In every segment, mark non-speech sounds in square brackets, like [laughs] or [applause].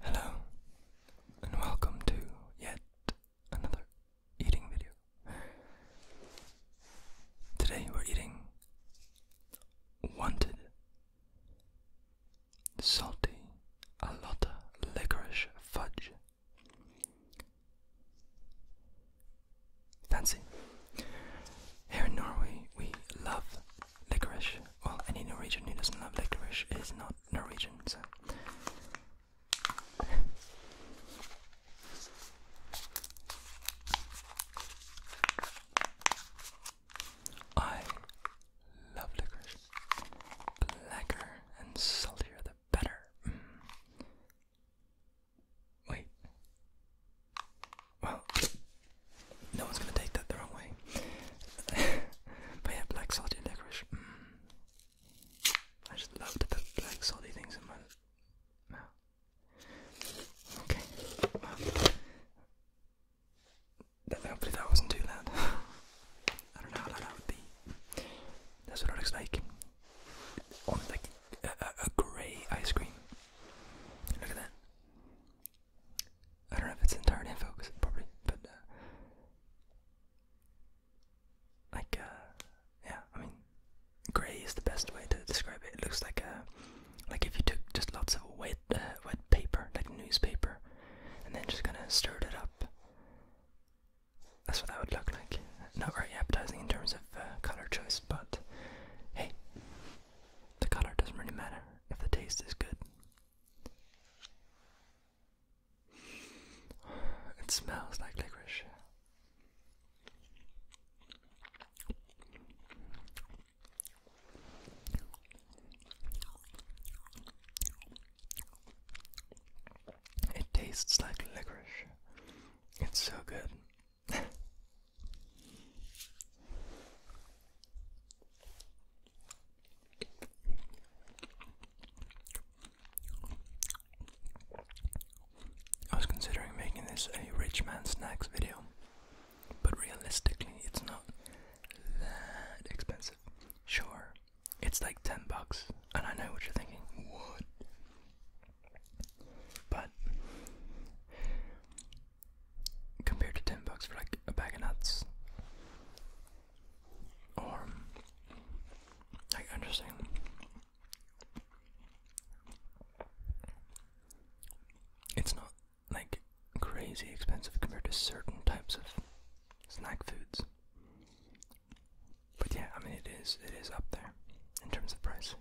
Hello, and welcome to yet another eating video. Today we're eating wanted salty alotta licorice fudge. Fancy. Here in Norway, we love licorice. Well, any Norwegian who doesn't love licorice is not Norwegian, so. I love licorice. Blacker and saltier the better. Mm. Wait. Well, no one's gonna take that the wrong way. [laughs] but yeah, black salty licorice. Mm. I just love to put black salty things in my mouth. Okay. hopefully that wasn't too loud. [laughs] I don't know how loud that would be. That's what it looks like on like a, grey ice cream. Look at that. I don't know if it's entirely in focus, probably, but uh, like uh, yeah, I mean, grey is the best way to describe it. It looks like a uh, like if you took just lots of wet wet paper, like newspaper, and then just kind of stirred it up. That's what that would look like. Not very appetizing in terms of color choice but hey, the color doesn't really matter if the taste is good. It smells like licorice. It tastes like licorice. It's so good. I was considering making this a rich man snacks video, but realistically, it's not that expensive. Sure, it's like 10 bucks, and I know what you're thinking. What? But compared to ten bucks for like a bag of nuts, or like interesting. It's not like crazy expensive compared to certain types of snack foods. But yeah, I mean it is it is up there in terms of price.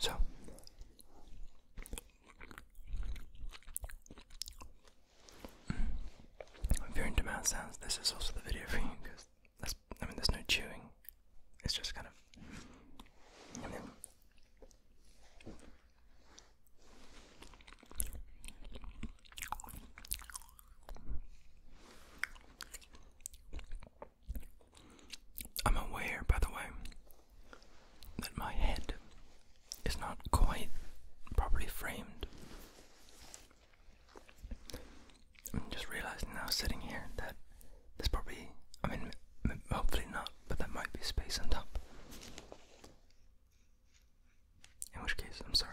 So if you're into mouth sounds, this is also the video for you because that's I mean there's no chewing. It's just kind of I'm aware, by the way, that my head is not quite properly framed. I'm just realizing now, sitting here, that this probably, I mean, hopefully not but there might be space on top. In which case, I'm sorry.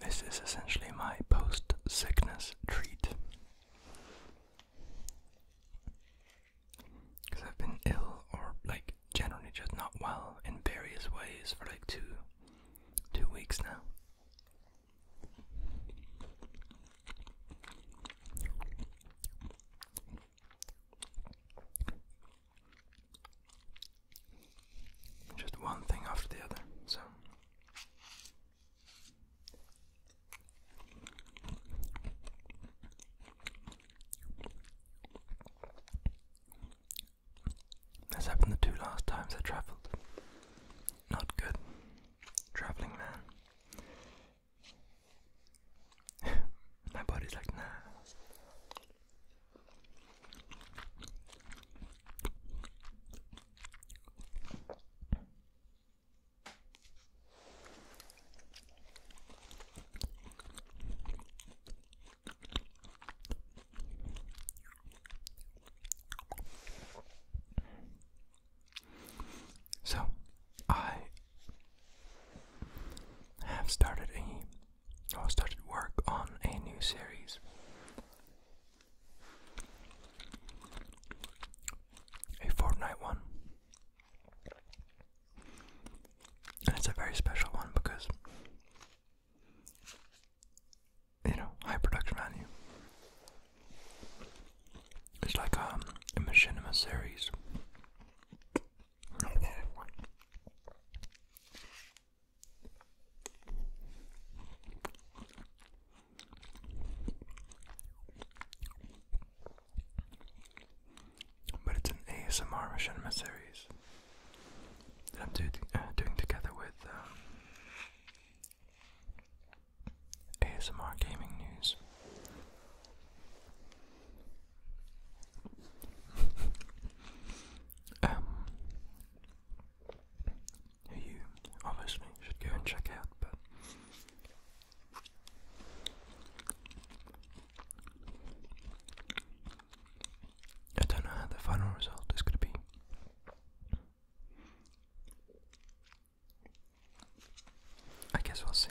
This is essentially my post sickness treat. Because I've been ill or like generally just not well in various ways for like two two weeks now. Just one thing after the other, so. This happened the two last times I travelled. Not good. Travelling man. [laughs] My body's like, nah. So, I have started a, started work on a new series a fortnight one. And it's a very special one because, you know, high production value. It's like um, a machinima series. But it's an ASMR machinima series that I'm do uh, doing together with um, ASMR Gaming News. [laughs] Um, who you obviously should go and check out, but I don't know how the final result is going to be. I guess we'll see.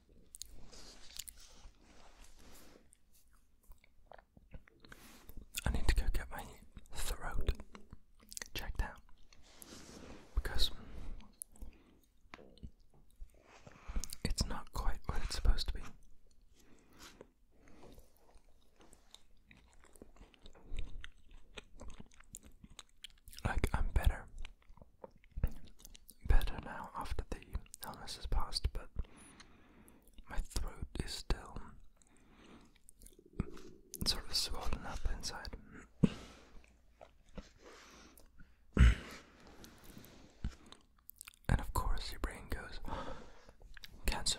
I need to go get my throat checked out because it's not quite what it's supposed to be. Like, I'm better better now after the illness has passed, but my throat is still sort of swollen up inside. and of course, your brain goes cancer.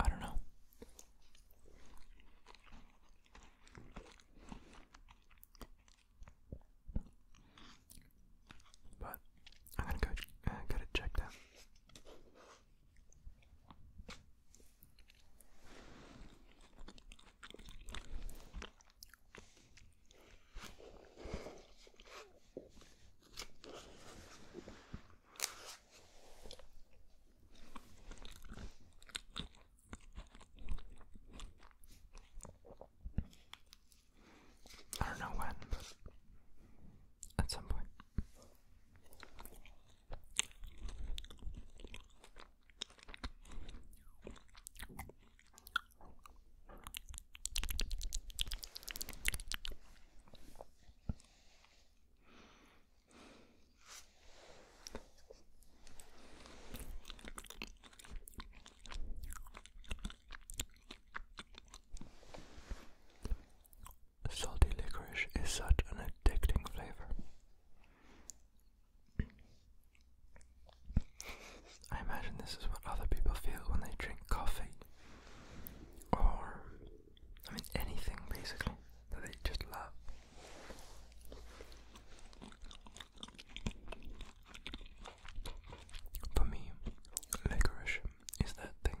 I don't know. But I'm gonna go uh, get it checked out. I don't know when, but at some point. Salty licorice is such an addicting flavor. I imagine this is what other people feel when they drink coffee or, I mean, anything basically that they just love. For me, licorice is that thing.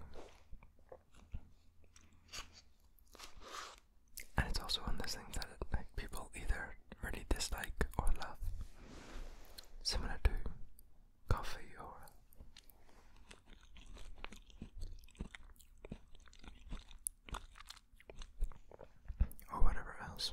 And it's also one of those things that it, like people either really dislike or love. Similar to coffee or or whatever else.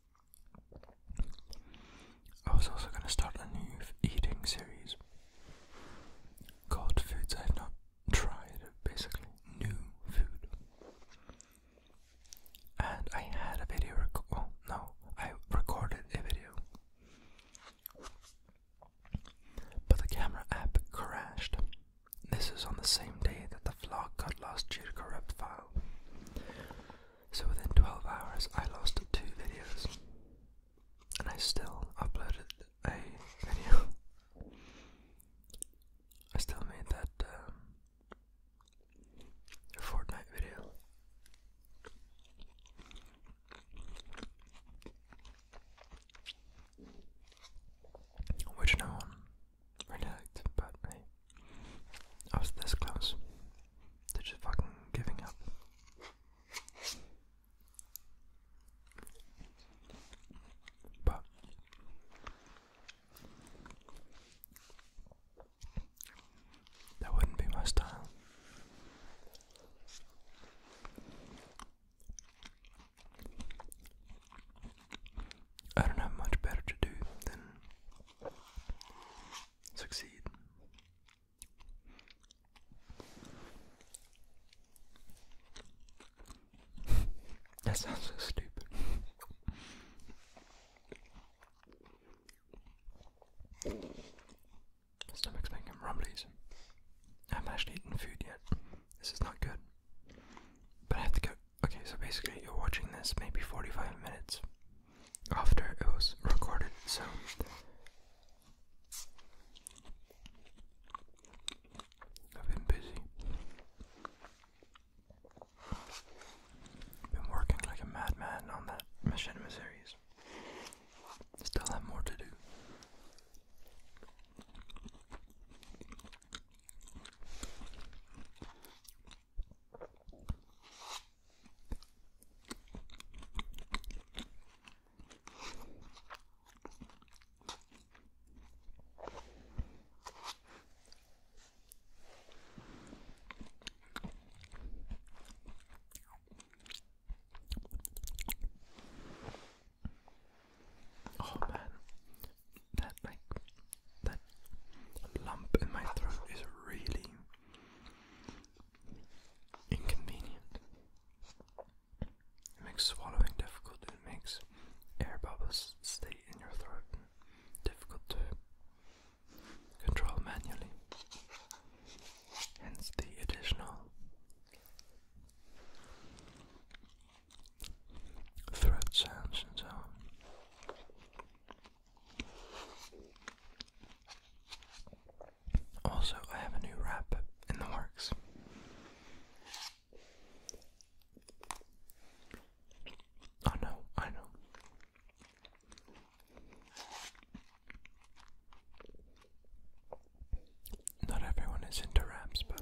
I was also going to start a new eating series called Foods I Have Not Tried, basically, new food. And I had a video, rec no, I recorded a video. But the camera app crashed. This is on the same day that the vlog got lost due to corrupt file. So within 12 hours, I lost two videos, and I still uploaded a video. I still made that um, Fortnite video. Which no one really liked, but I was this close They're just fucking giving up. But that wouldn't be my style. I don't have much better to do than succeed. [laughs] that sounds so stupid. My making rumblies. I haven't actually eaten food yet. This is not good. But I have to go. Okay, so basically, you're watching this maybe 45 minutes after it was recorded, so I've been busy. I've Been working like a madman on that Machinima series. Still have more to do. Oh man, that like that lump in my throat is really inconvenient. It makes swallowing difficult. It makes air bubbles stay in your throat. Difficult to control manually. Hence the additional throat sounds and so on. Also, I have a new rap in the works. I oh, know, I know. Not everyone is into raps, but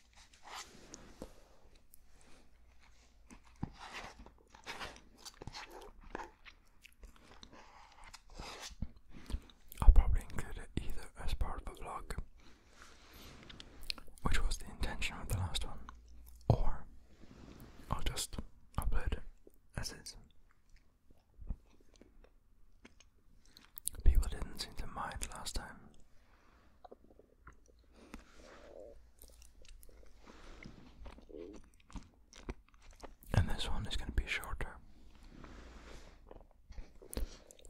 I'll probably include it either as part of a vlog, which was the intention of the last one, or I'll just upload it as is. People didn't seem to mind last time. And this one is going to be shorter,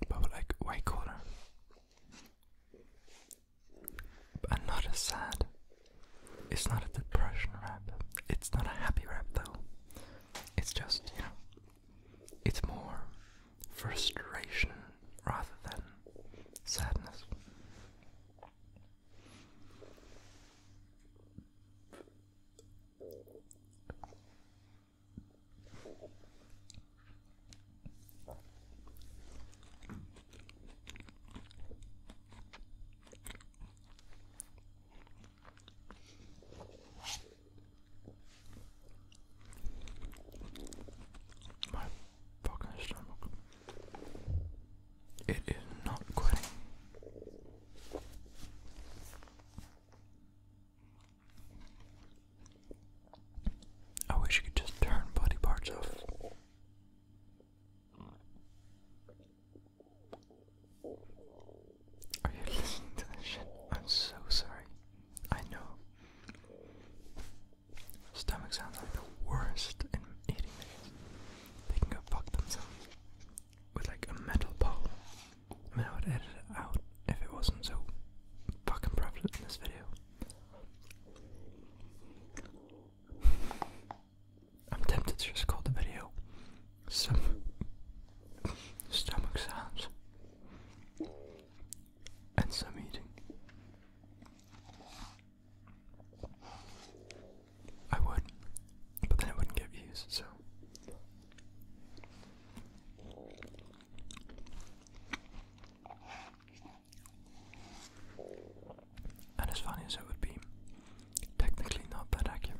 but like way cooler, and not as sad. It's not a depression rap. It's not a happy rap though. It's just you know, it's more frustration rather than sadness fucking stomach. It is not quitting. I wish you could just turn body parts off. Are you listening to this shit? I'm so sorry. I know. Stomach sounds like the worst in eating They can go fuck themselves with like a metal pole. I mean, I would edit it out if it wasn't so fucking prevalent in this video. I'm tempted to just call the video some stomach sounds and some eating. I would, but then it wouldn't get views, so. And as funny as it would be, technically not that accurate.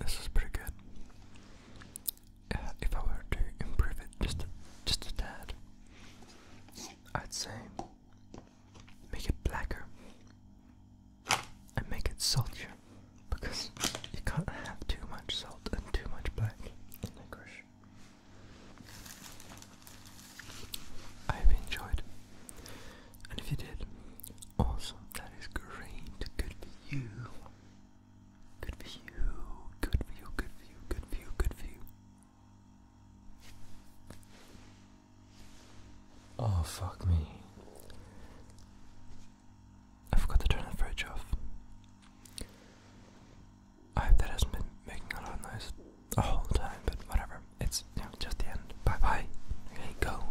This is pretty good. Uh, if I were to improve it just just a tad, I'd say make it blacker and make it saltier because you can't have too much salt and too much black in I hope enjoyed. And if you did, awesome, that is great. Good for you. Good for you. Good for you, good for you, good for you, good for you. Oh, fuck me. I forgot to turn the fridge off. I that has been making a lot of noise the whole time, but whatever. It's just the end. Bye bye. Okay, go.